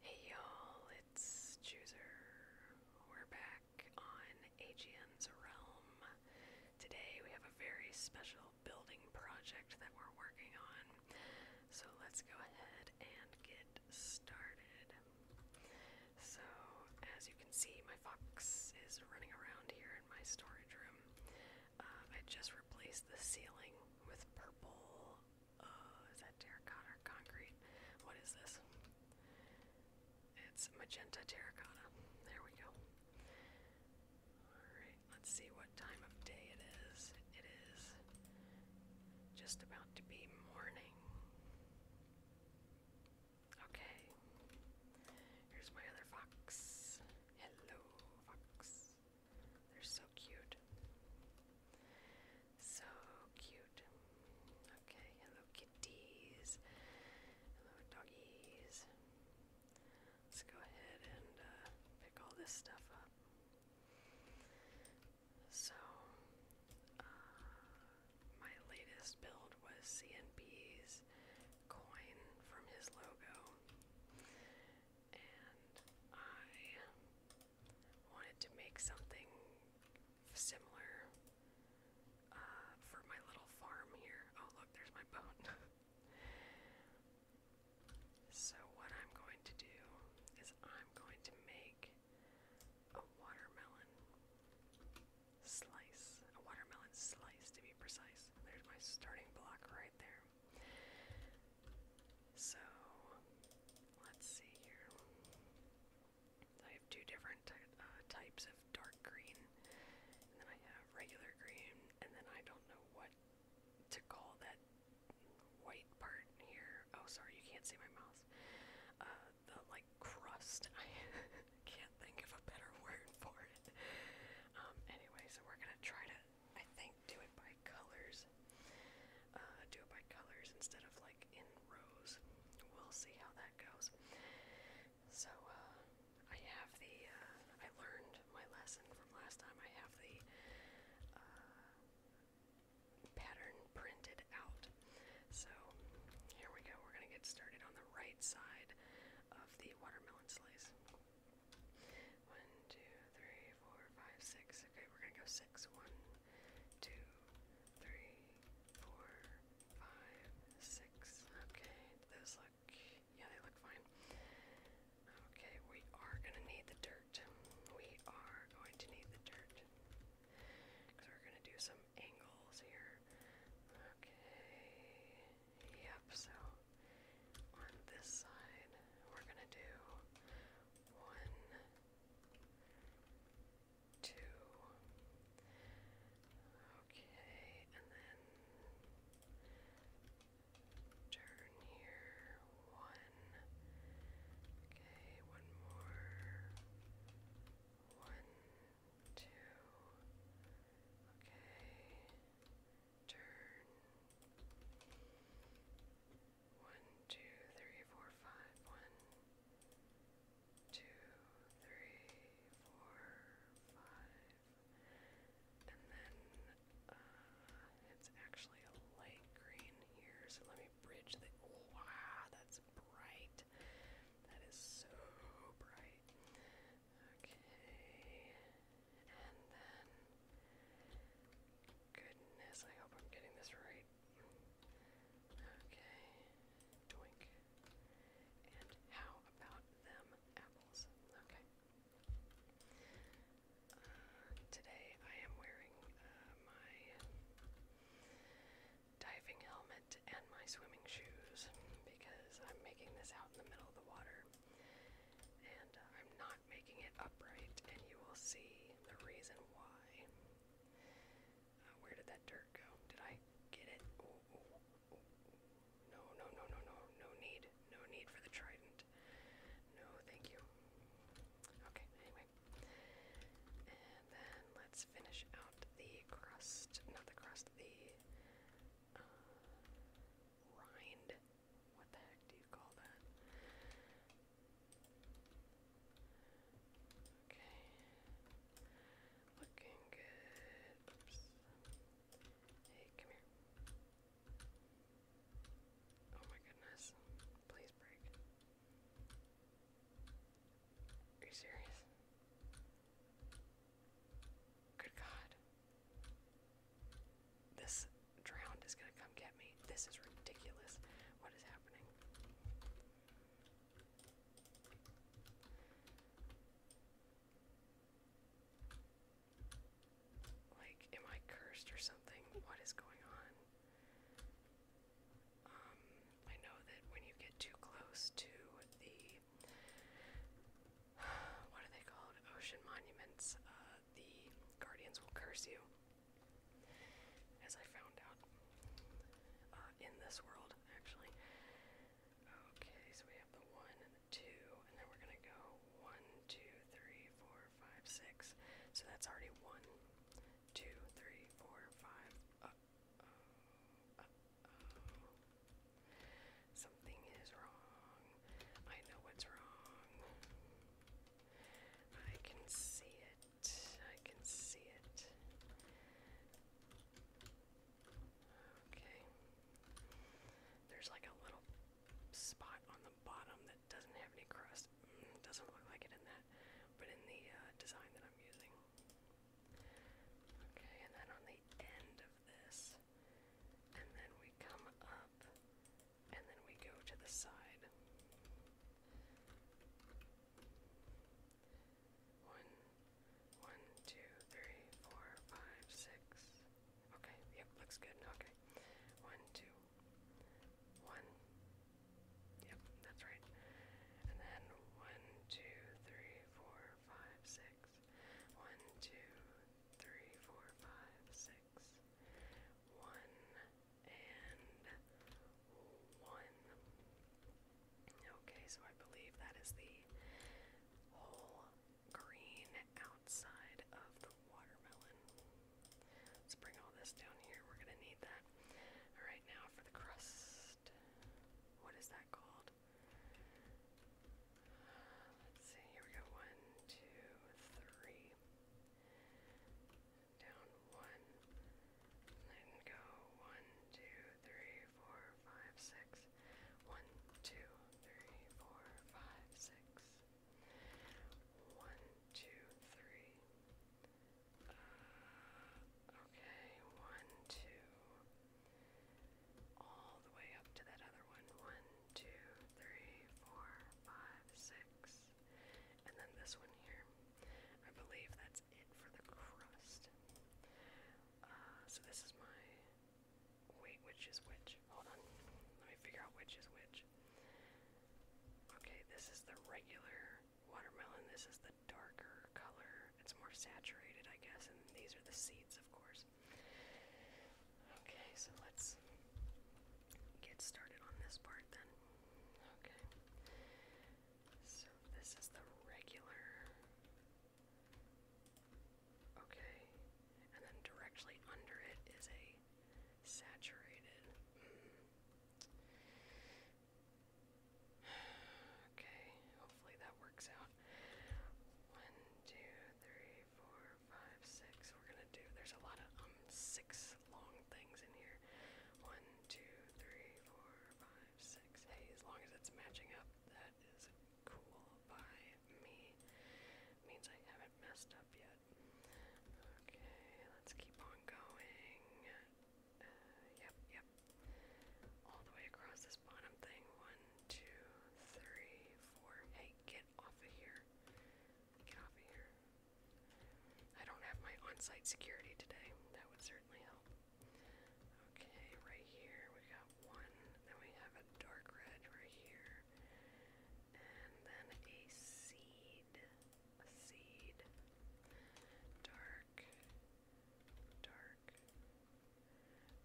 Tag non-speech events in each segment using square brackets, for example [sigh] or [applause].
Hey y'all, it's Chooser. We're back on AGN's Realm. Today we have a very special building project that we're working on. So let's go ahead and get started. So, as you can see, my fox is running around here in my storage room. Uh, I just replaced the ceiling with purple Oh, is that terracotta concrete? What is this? It's magenta terracotta. There we go. Alright, let's see what time of day it is. It is just about to be morning. Okay. Here's my other fox. Hello, fox. They're so cute. So cute. Okay, hello kitties. Hello doggies. Let's go ahead and uh, pick all this stuff up. So, uh, my latest build was CNP's coin from his logo, and I wanted to make something similar uh, for my little farm here. Oh, look, there's my boat. [laughs] so, what I'm going to do is I'm going to make a watermelon slice, a watermelon slice to be precise. There's my starting block right there. So let's see here. I have two different uh, types of dark green, and then I have regular green, and then I don't know what to call that white part here. Oh, sorry, you can't see my mouse. Uh, the like crust. [laughs] I can't think of a better word for it. Um, anyway, we're gonna try to. I think do it by colors. Uh, do it by colors instead of like in rows. We'll see how that goes. So uh, I have the. Uh, I learned my lesson from last time. I have the pattern printed out. So here we go. We're gonna get started on the right side of the watermelon slice. One, two, three, three, four, five, six. Okay, we're gonna go six. One, two, three, four, five, six. Okay, those look yeah, they look fine. Okay, we are gonna need the dirt. We are going to need the dirt. Because we're gonna do some angles here. Okay. Yep, so on this side, we're gonna do one, Two. Okay, and then turn here. One. Okay, one more. One, two. Okay, turn. One, two, three, four, five. One, two, three, four, five. And then it's actually a light green here, so let me bridge the. wow, that's bright. That is so bright. Okay. And then. Goodness, I hope I'm getting this right. Okay. Doink. And how about them apples? Okay. Uh, today I am wearing uh, my diving helmet and my swimming shoes because I'm making this out in the middle of the water. And uh, I'm not making it upright, and you will see the reason why. Uh, where did that dirt go? Did I get it? No, no, no, no, no. No need. No need for the trident. No, thank you. Okay, anyway. And then let's finish out the crust. Not the crust, the uh, rind. What the heck do you call that? Okay. Looking good. Hey, come here. Oh my goodness. Please break. Are you serious? Good God. This drowned is gonna come get me. This is ridiculous. What is happening? Like, am I cursed or something? What is going on? Um, I know that when you get too close to the [sighs] what are they called? Ocean monuments. Uh, the guardians will curse you as I found out uh, in this world, actually. Okay, so we have the one two, and then we're gonna go one, two, three, four, five, six. So that's already one, two, three, four, five. Uh, uh, Something is wrong. I know what's wrong. I can see I can see it. Okay. There's like a little spot on the bottom that doesn't have any crust. Mm, doesn't look like it in that, but in the uh, design that I'm using. Okay, and then on the end of this, and then we come up and then we go to the side. One, one, two, three, four, five, six. Okay, yep, looks good. Okay. One, two, one. Yep, that's right. And then one, two, three, four, five, six. One, two, three, four, five, six one, and one. Okay, so I believe that is the whole green outside of the watermelon. Let's bring all this down here. We're gonna need that. Alright, now for the crust. What is that called? Let's see, here we go. One, two, three down one, letting go one, two, three, four, five, six. One, two, three, four, five, six. One, two, three. okay, one, two. All the way up to that other one. One, two, three, four, five, six this. And then this one here. I believe that's it for the crust. Uh, so this is my. Wait, which is which? Hold on. Let me figure out which is which. Okay, this is the regular watermelon. This is the darker color. It's more saturated, I guess. And these are the seeds, of course. Okay, so let's get started on this part then. Okay. So this is the regular. Okay. And then directly under it is a saturated. Mm. Okay. Hopefully that works out. One, two, three, four, five, six. We're gonna there's a lot of um six long things in here. One, two, three, four, five, six. Hey, as long as it's matching up, that is cool by me. Means I haven't messed up yet. Okay, let's keep on going. Uh, yep, yep. All the way across this bottom thing. One, two, three, four. Hey, get off of here. Get off of here. I don't have my on security today. That would certainly help. Okay, right here we got one. Then we have a dark red right here. And then a seed. A seed. Dark. Dark.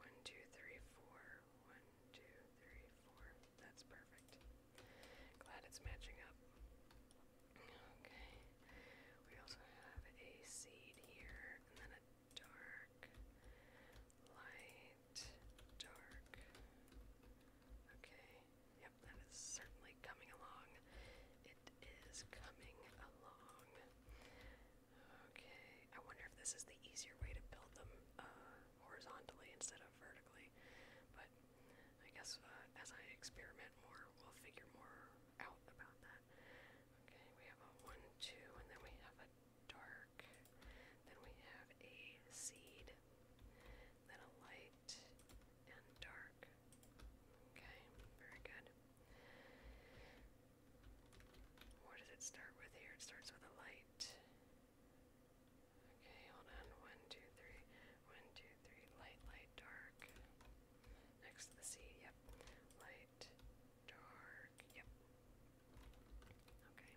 One, two, three, four. One, two, three, four. That's perfect. Glad it's matching up. Okay. We also have a seed here, and then a dark, light, dark. Okay. Yep, that is certainly coming along. It is coming along. Okay. I wonder if this is the easier way to build them uh, horizontally instead of vertically. But but I guess uh, as I experiment more, we'll figure more out about that. Okay, we have a 1, 2, and then we have a dark. Then we have a seed, then a light, and dark. Okay, very good. What does it start with here? It starts with a light. Okay, hold on. One, two, three. One, two, three. Light, light, dark. Next to the sea, yep. Light, dark, yep. Okay.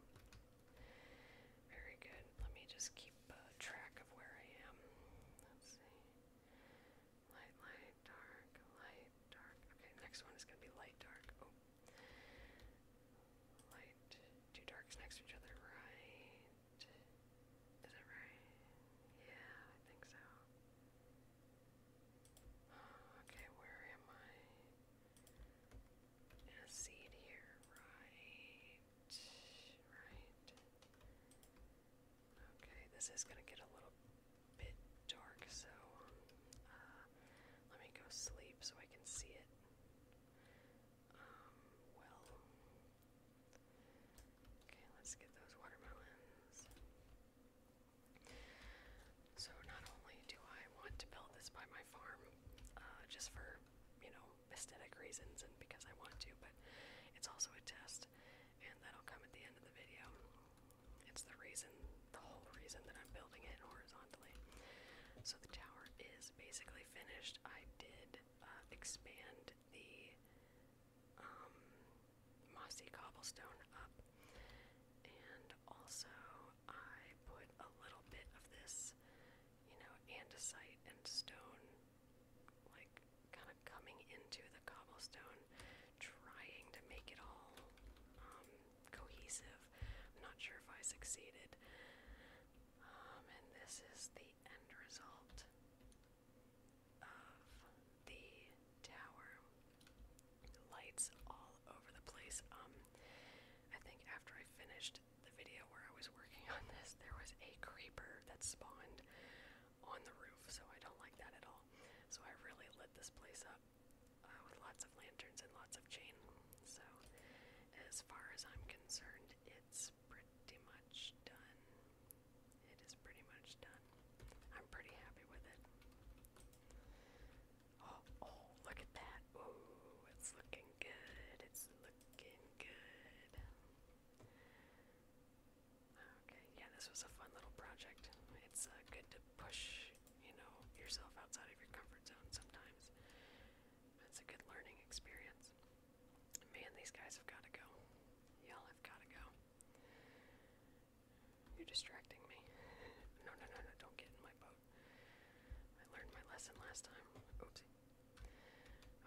Very good. Let me just keep uh, track of where I am. Let's see. Light, light, dark, light, dark. Okay, next one is going to be light, dark. Oh. Light, two darks next to each other, right? Is that right? Yeah, I think so. [sighs] Okay, where am I? In a here, right? Right. Okay, this is gonna get a little bit dark, so um, uh, let me go sleep so I can see it well. Okay, let's get those watermelons. So not only do I want to build this by my farm, uh, just for, you know, aesthetic reasons and because I want to, but it's also a test, and that'll come at the end of the video. It's the reason, the whole reason that I'm building it horizontally. So the tower is basically finished. I did uh, expand the um, mossy cobblestone up. And also, I put a little bit of this, you know, andesite and stone, like kind of coming into the cobblestone, trying to make it all um, cohesive. I'm not sure if I succeeded. Um, and this is the the end result of the tower. Lights all over the place. Um, I think after I finished the video where I was working on this, there was a creeper that spawned on the roof, so I don't like that at all. So I really lit this place up uh, with lots of lanterns and lots of chain. So, as far as I'm concerned, it's pretty much done. It is pretty much done. I'm pretty happy with it. Oh, oh, look at that. Ooh, it's looking good. It's looking good. Okay, yeah, this was a fun little project. It's uh, good to push, you know, yourself outside of your comfort zone sometimes. It's a good learning experience. Man, these guys have got to go. Y'all have got to go. You're distracting me. [laughs] No, no, no, no, don't get in my boat. I learned my lesson last time. Oopsie.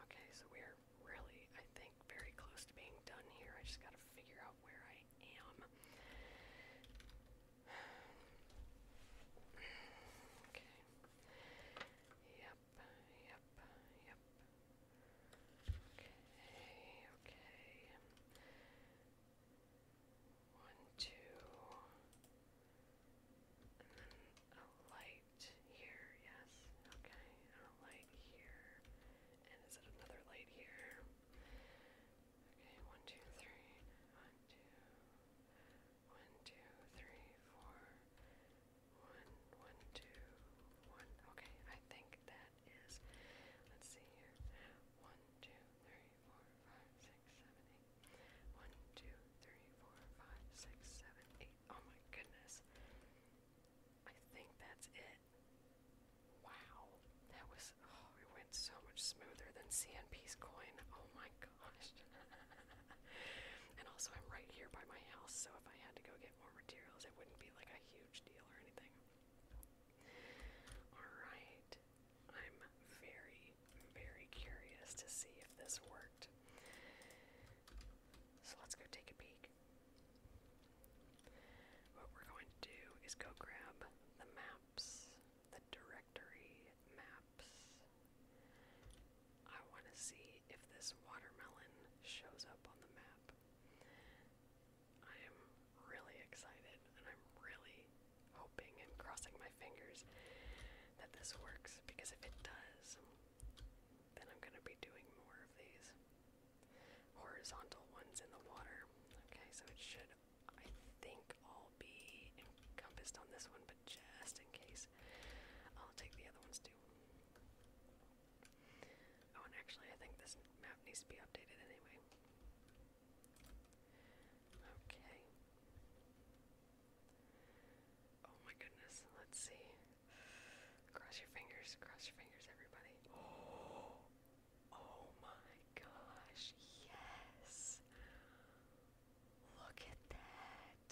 Okay, so we're really, I think, very close to being done here. I just gotta figure out where I am. [sighs] Okay. Yeah, Yep, yep, Okay, okay. One, two, and then a light here, yes, okay, a light here, and is it another light here? Okay, one, two, three, one, two, one, two, three, four, one, one, two, one. Okay, I think that is, let's see here. One, two, three, four, five, six, seven, eight. One, two, three, four, five, six, seven, eight. Oh my goodness. I think that's it. Wow. That was, oh, it went so much smoother than CNP's coin. Oh my gosh. [laughs] [laughs] and also, I'm right here by my house, so if I had to go get more materials, it wouldn't be like a huge deal or anything. Alright, I'm very, very curious to see if this worked. So let's go take a peek. What we're going to do is go grab the maps, the directory maps, I want to see if this watermelon shows up on the map. I am really excited and I'm really hoping and crossing my fingers that this works because if it does, then I'm going to be doing more of these horizontal ones in the water. Okay, so it should, I think, all be encompassed on this one, but just in case, I'll take the other ones too. Oh, and actually, I think this map needs to be updated anyway. Okay. Oh my goodness, let's see. Cross your fingers, cross your fingers, everybody. [gasps] Oh, my gosh, yes! Look at that!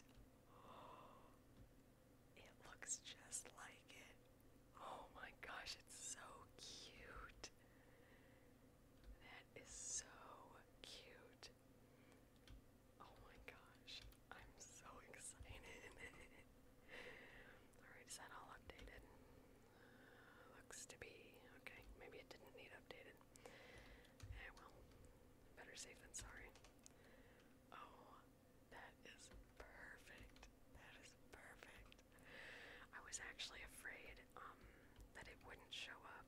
It looks just like it. Oh my gosh, it's so cute. That is so cute. Oh my gosh, I'm so excited. [laughs] Alright, is that all updated? looks to be. Okay, maybe it didn't need updated. Eh, well, better safe than sorry. Oh, that is perfect. That is perfect. I was actually afraid um, that it wouldn't show up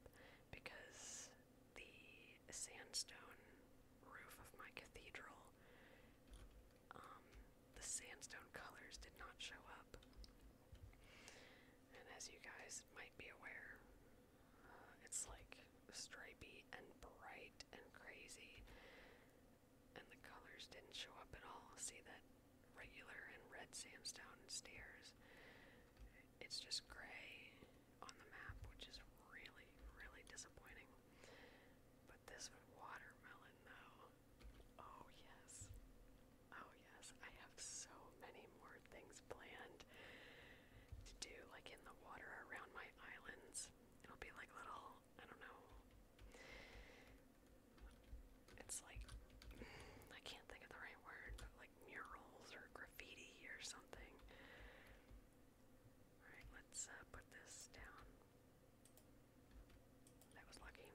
because the sandstone roof of my cathedral, um, the sandstone colors did not show up. And as you guys might be aware, it's like stripy and bright and crazy. And the colors didn't show up at all. See that regular and red sandstone stairs. It's just gray on the map, which is really, really disappointing. But this watermelon, though, oh yes, oh yes, I have so many more things planned to do, like in the water around my islands. It'll be like little, I don't know. It's like, I can't think of the right word, but like murals or graffiti or something. Alright, let's uh, put this down. That was lucky.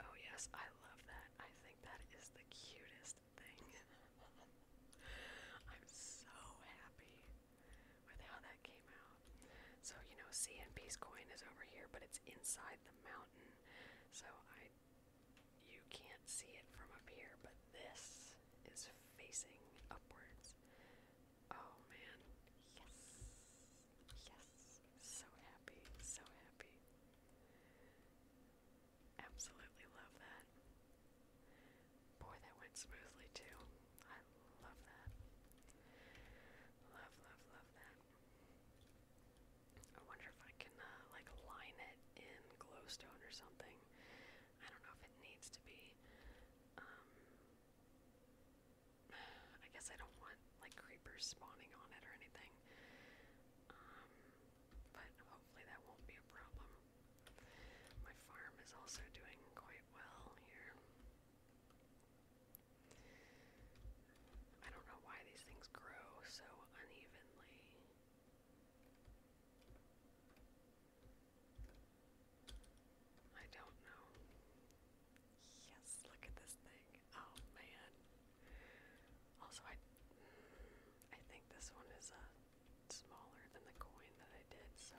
Oh, yes, I love that. I think that is the cutest thing. [laughs] I'm so happy with how that came out. So, you know, Sea and Peace coin is over here, but it's inside the mountain. So I you can't see it from up here, but this is facing upwards. Oh man. Yes. Yes. So happy. So happy. Absolutely love that. Boy, that went smoothly too. I love that. Love, love, love that. I wonder if I can uh, like line it in glowstone or something. I don't know if it needs to be. Um, [sighs] I guess I don't want like creepers spawning on it or anything. Um, but hopefully that won't be a problem. My farm is also doing quite well here. I don't know why these things grow so unevenly. I don't know. Yes, look at this thing. Oh man. Also, I, mm, I think this one is a smaller than the coin that I did, so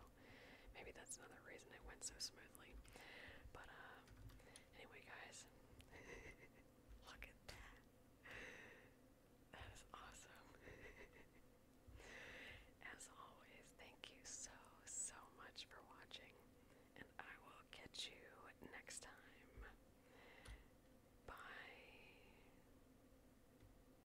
maybe that's another reason it went so smoothly. But um, anyway, guys, [laughs] look at that. That is awesome. [laughs] As always, thank you so, so much for watching, and I will catch you next time. Bye.